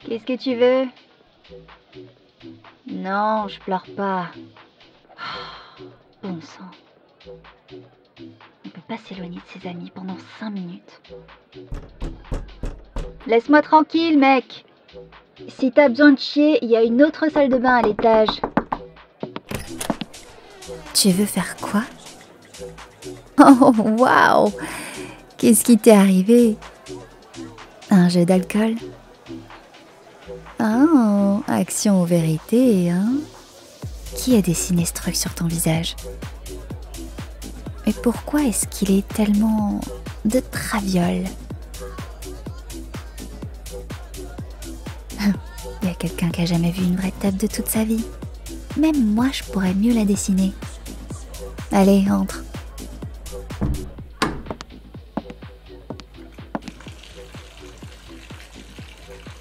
Qu'est-ce que tu veux Non, je pleure pas. Oh, bon sang. On peut pas s'éloigner de ses amis pendant 5 minutes. Laisse-moi tranquille, mec. Si t'as besoin de chier, il y a une autre salle de bain à l'étage. Tu veux faire quoi Oh, wow Qu'est-ce qui t'est arrivé Un jeu d'alcool ah! action ou vérité, hein Qui a dessiné ce truc sur ton visage Mais pourquoi est-ce qu'il est tellement de traviole Il y a quelqu'un qui a jamais vu une vraie table de toute sa vie. Même moi, je pourrais mieux la dessiner. Allez, entre.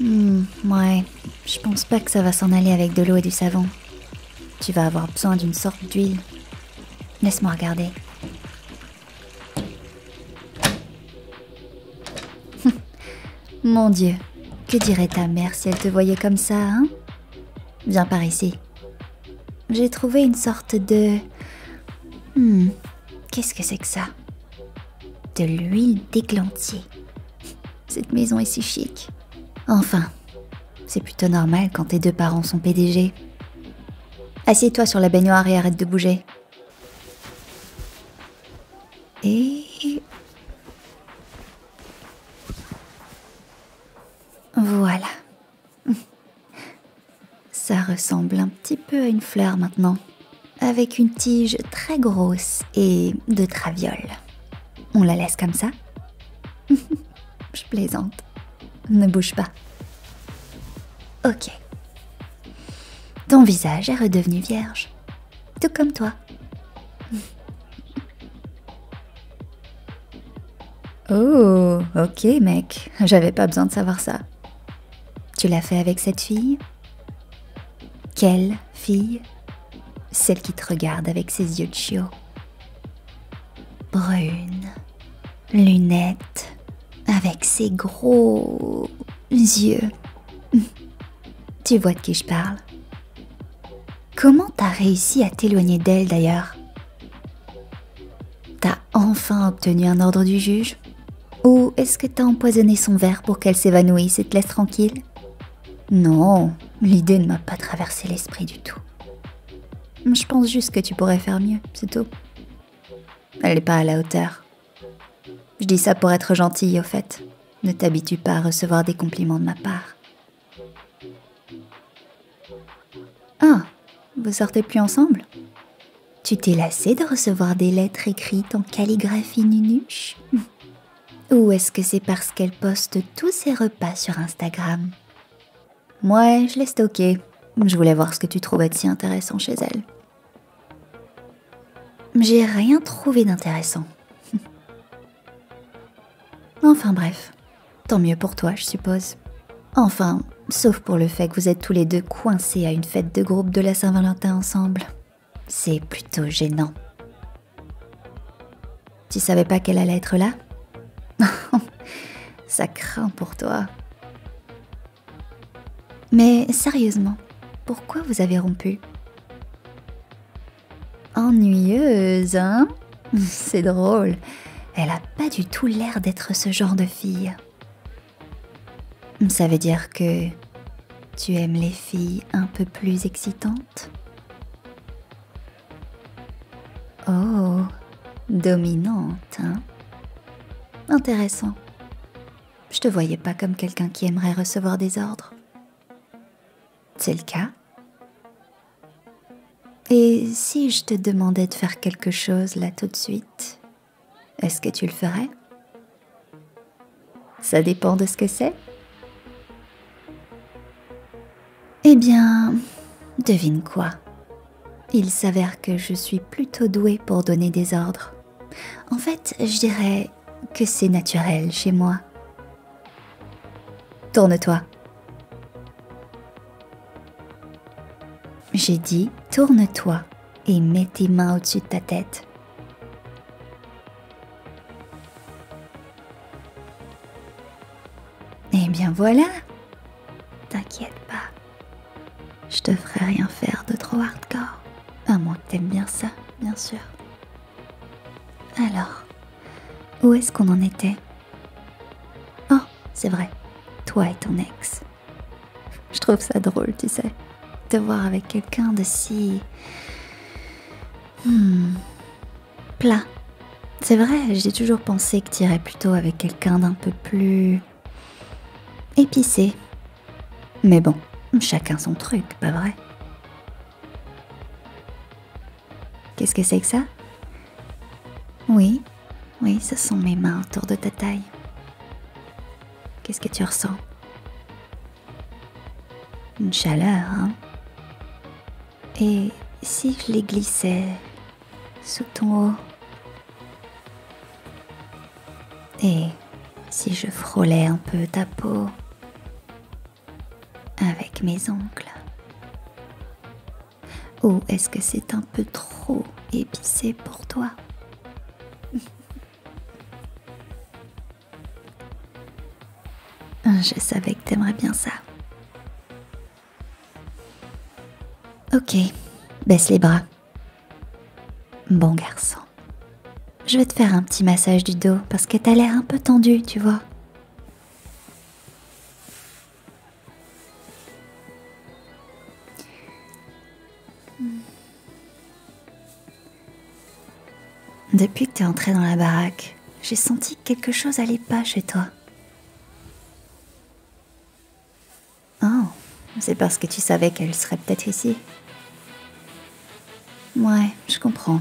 Hmm, ouais, je pense pas que ça va s'en aller avec de l'eau et du savon. Tu vas avoir besoin d'une sorte d'huile. Laisse-moi regarder. Mon Dieu, que dirait ta mère si elle te voyait comme ça, hein Viens par ici. J'ai trouvé une sorte de... Hmm, qu'est-ce que c'est que ça De l'huile d'églantier. Cette maison est si chic. Enfin, c'est plutôt normal quand tes deux parents sont PDG. Assieds-toi sur la baignoire et arrête de bouger. Et... Voilà. Ça ressemble un petit peu à une fleur maintenant, avec une tige très grosse et de traviole. On la laisse comme ça Je plaisante. Ne bouge pas. Ok. Ton visage est redevenu vierge tout comme toi. oh, ok mec, j'avais pas besoin de savoir ça. Tu l'as fait avec cette fille Quelle fille Celle qui te regarde avec ses yeux de chiot. Brune, lunettes, avec ses gros yeux. Tu vois de qui je parle. Comment t'as réussi à t'éloigner d'elle d'ailleurs T'as enfin obtenu un ordre du juge Ou est-ce que t'as empoisonné son verre pour qu'elle s'évanouisse et te laisse tranquille Non, l'idée ne m'a pas traversé l'esprit du tout. Je pense juste que tu pourrais faire mieux, c'est tout. Elle n'est pas à la hauteur. Je dis ça pour être gentille, au fait. Ne t'habitue pas à recevoir des compliments de ma part. Ah, vous sortez plus ensemble Tu t'es lassée de recevoir des lettres écrites en calligraphie nunuche Ou est-ce que c'est parce qu'elle poste tous ses repas sur Instagram Moi, je l'ai stocké. Je voulais voir ce que tu trouvais de si intéressant chez elle. J'ai rien trouvé d'intéressant. enfin bref, tant mieux pour toi, je suppose. Enfin, sauf pour le fait que vous êtes tous les deux coincés à une fête de groupe de la Saint-Valentin ensemble. C'est plutôt gênant. Tu savais pas qu'elle allait être là Ça craint pour toi. Mais sérieusement, pourquoi vous avez rompu Ennuyeuse, hein C'est drôle. Elle a pas du tout l'air d'être ce genre de fille. Ça veut dire que tu aimes les filles un peu plus excitantes Oh, dominante, hein Intéressant. Je te voyais pas comme quelqu'un qui aimerait recevoir des ordres. C'est le cas Et si je te demandais de faire quelque chose là tout de suite, est-ce que tu le ferais Ça dépend de ce que c'est Eh bien, devine quoi Il s'avère que je suis plutôt douée pour donner des ordres. En fait, je dirais que c'est naturel chez moi. Tourne-toi. J'ai dit tourne-toi et mets tes mains au-dessus de ta tête. Eh bien voilà. T'inquiète pas. Je te ferai rien faire de trop hardcore. À moins que t'aimes bien ça, bien sûr. Alors, où est-ce qu'on en était Oh, c'est vrai, toi et ton ex. Je trouve ça drôle, tu sais, te voir avec quelqu'un de si... Hmm, plat. C'est vrai, j'ai toujours pensé que tu irais plutôt avec quelqu'un d'un peu plus... épicé, mais bon, chacun son truc, pas vrai Qu'est-ce que c'est que ça Oui, oui, ce sont mes mains autour de ta taille. Qu'est-ce que tu ressens Une chaleur, hein Et si je les glissais sous ton haut Et si je frôlais un peu ta peau avec mes ongles. Ou est-ce que c'est un peu trop épicé pour toi Je savais que t'aimerais bien ça. Ok, baisse les bras. Bon garçon. Je vais te faire un petit massage du dos parce que t'as l'air un peu tendu, tu vois. Depuis que tu es entré dans la baraque, j'ai senti que quelque chose n'allait pas chez toi. Oh, c'est parce que tu savais qu'elle serait peut-être ici. Ouais, je comprends.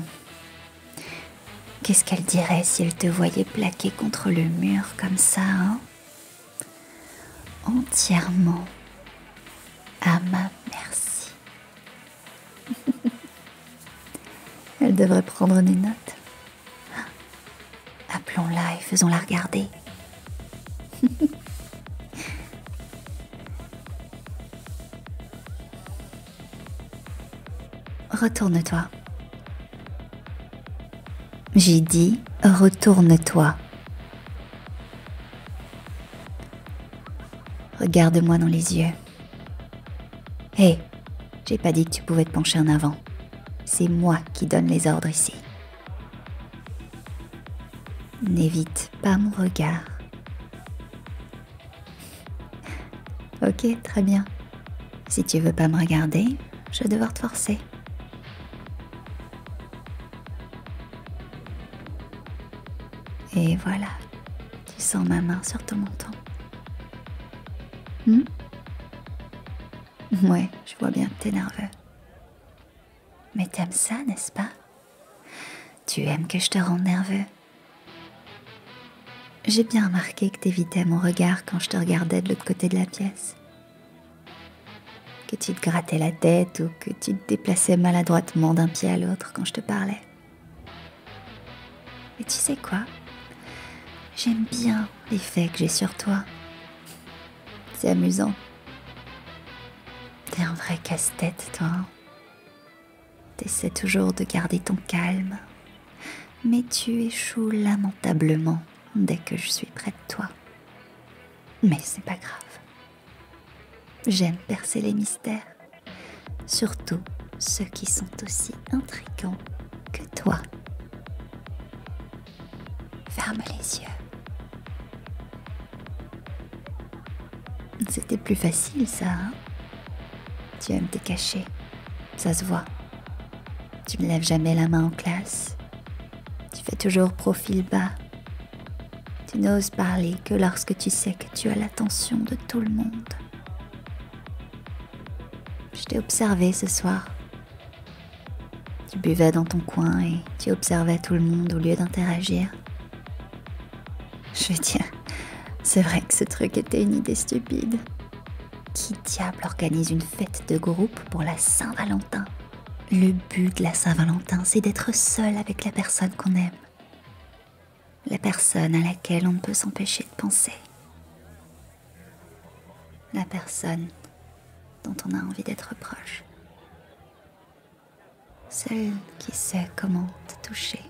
Qu'est-ce qu'elle dirait si elle te voyait plaqué contre le mur comme ça, hein Entièrement à ma merci. elle devrait prendre des notes. Appelons-la et faisons-la regarder. Retourne-toi. J'ai dit, retourne-toi. Regarde-moi dans les yeux. Hé, j'ai pas dit que tu pouvais te pencher en avant. C'est moi qui donne les ordres ici. N'évite pas mon regard. Ok, très bien. Si tu veux pas me regarder, je vais devoir te forcer. Et voilà, tu sens ma main sur ton menton. Hmm ouais, je vois bien que t'es nerveux. Mais t'aimes ça, n'est-ce pas tu aimes que je te rende nerveux J'ai bien remarqué que tu évitais mon regard quand je te regardais de l'autre côté de la pièce. Que tu te grattais la tête ou que tu te déplaçais maladroitement d'un pied à l'autre quand je te parlais. Mais tu sais quoi J'aime bien l'effet que j'ai sur toi. C'est amusant. T'es un vrai casse-tête, toi. T'essaies toujours de garder ton calme, mais tu échoues lamentablement dès que je suis près de toi. Mais c'est pas grave. J'aime percer les mystères, surtout ceux qui sont aussi intrigants que toi. Ferme les yeux c'était plus facile, ça. Hein. tu aimes te cacher. Ça se voit. Tu ne lèves jamais la main en classe. Tu fais toujours profil bas. Tu n'oses parler que lorsque tu sais que tu as l'attention de tout le monde. Je t'ai observé ce soir. Tu buvais dans ton coin et tu observais tout le monde au lieu d'interagir. Je tiens, c'est vrai que ce truc était une idée stupide. Qui diable organise une fête de groupe pour la Saint-Valentin Le but de la Saint-Valentin, c'est d'être seul avec la personne qu'on aime. La personne à laquelle on ne peut s'empêcher de penser. La personne dont on a envie d'être proche celle qui sait comment te toucher.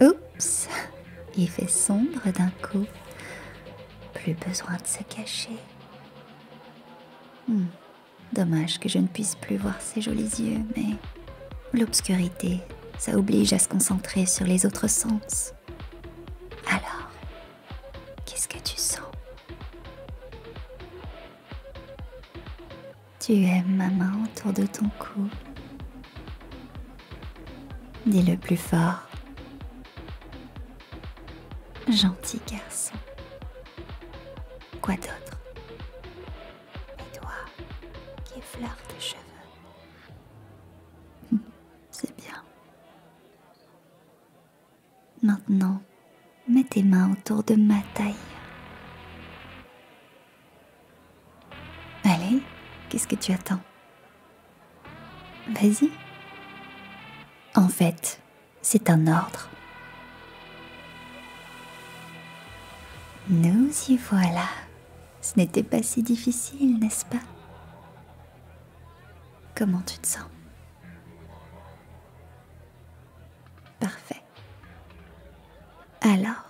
Oups, il fait sombre d'un coup. Plus besoin de se cacher. Hmm, dommage que je ne puisse plus voir ses jolis yeux, mais l'obscurité, ça oblige à se concentrer sur les autres sens. Alors, qu'est-ce que tu sens Tu aimes ma main autour de ton cou. Dis-le plus fort. Gentil garçon. Quoi d'autre Et toi, qui effleurent tes cheveux. C'est bien. Maintenant, mets tes mains autour de ma taille. Allez, qu'est-ce que tu attends Vas-y. En fait, c'est un ordre. Nous y voilà. Ce n'était pas si difficile, n'est-ce pas Comment tu te sens Parfait. Alors,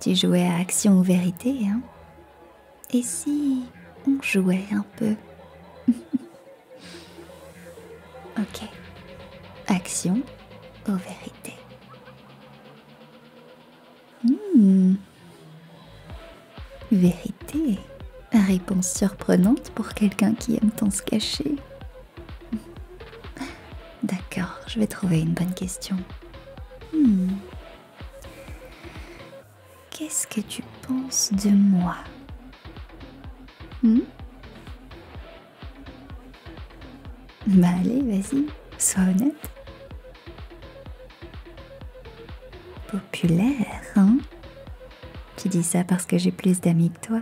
tu jouais à action ou vérité, hein Et si on jouait un peu Ok. Action ou vérité Hmm... Vérité. Réponse surprenante pour quelqu'un qui aime tant se cacher. D'accord, je vais trouver une bonne question. Hmm. Qu'est-ce que tu penses de moi hmm? bah, allez, vas-y, sois honnête. Populaire, hein Tu dis ça parce que j'ai plus d'amis que toi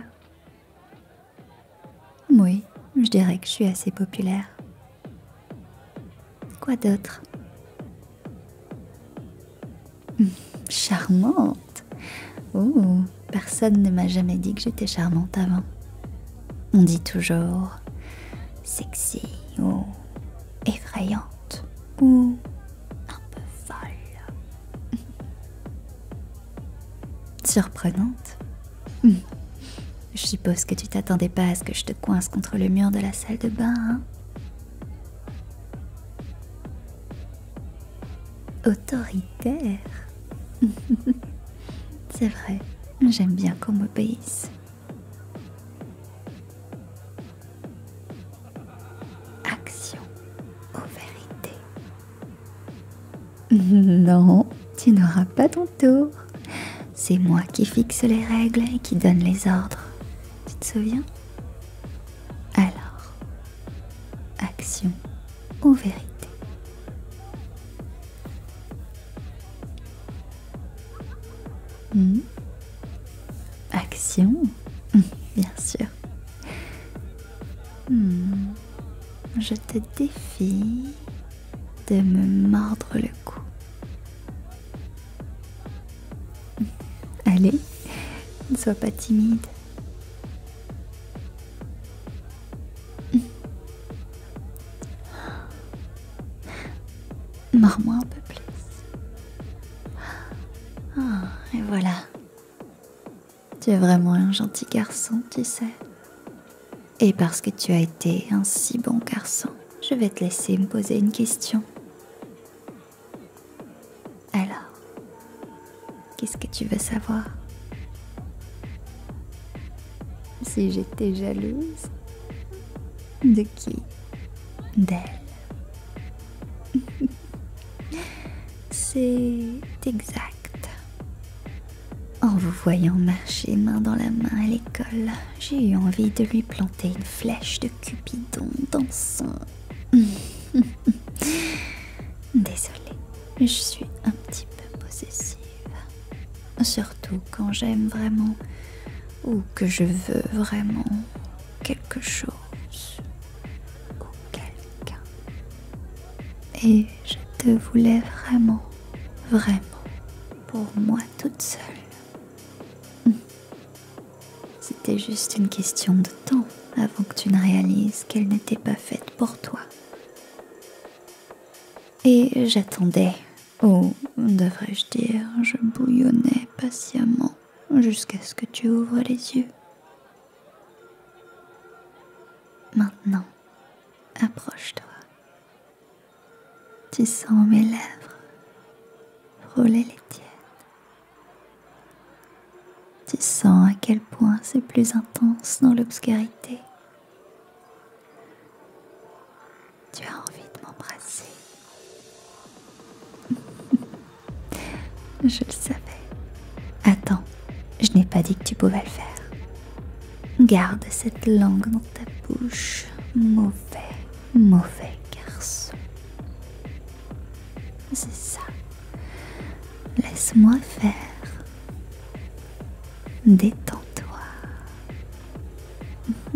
Oui, je dirais que je suis assez populaire. Quoi d'autre hmm, Charmante Oh, personne ne m'a jamais dit que j'étais charmante avant. On dit toujours sexy ou effrayante ou un peu folle. Surprenante Je suppose que tu t'attendais pas à ce que je te coince contre le mur de la salle de bain, hein. Autoritaire C'est vrai, j'aime bien qu'on m'obéisse. Action ou vérité Non, tu n'auras pas ton tour. C'est moi qui fixe les règles et qui donne les ordres. Tu te souviens Alors, action ou vérité Mm. Action Bien sûr. Mm. Je te défie de me mordre le cou. Allez, ne sois pas timide. Mords-moi un peu plus. Ah, et voilà. Tu es vraiment un gentil garçon, tu sais. Et parce que tu as été un si bon garçon, je vais te laisser me poser une question. Alors, qu'est-ce que tu veux savoir Si j'étais jalouse De qui D'elle. C'est exact. En vous voyant marcher main dans la main à l'école, j'ai eu envie de lui planter une flèche de Cupidon dans son... Désolée, je suis un petit peu possessive. Surtout quand j'aime vraiment ou que je veux vraiment quelque chose ou quelqu'un. Et je te voulais vraiment, vraiment, pour moi toute seule. Hum. C'était juste une question de temps avant que tu ne réalises qu'elle n'était pas faite pour toi. Et j'attendais Oh, devrais-je dire, je bouillonnais patiemment jusqu'à ce que tu ouvres les yeux. Maintenant, approche-toi. Tu sens mes lèvres frôler les tiennes. Tu sens à quel point c'est plus intense dans l'obscurité. Tu as envie de m'embrasser Je le savais. Attends, je n'ai pas dit que tu pouvais le faire. Garde cette langue dans ta bouche. Mauvais, mauvais garçon. C'est ça. Laisse-moi faire. Détends-toi.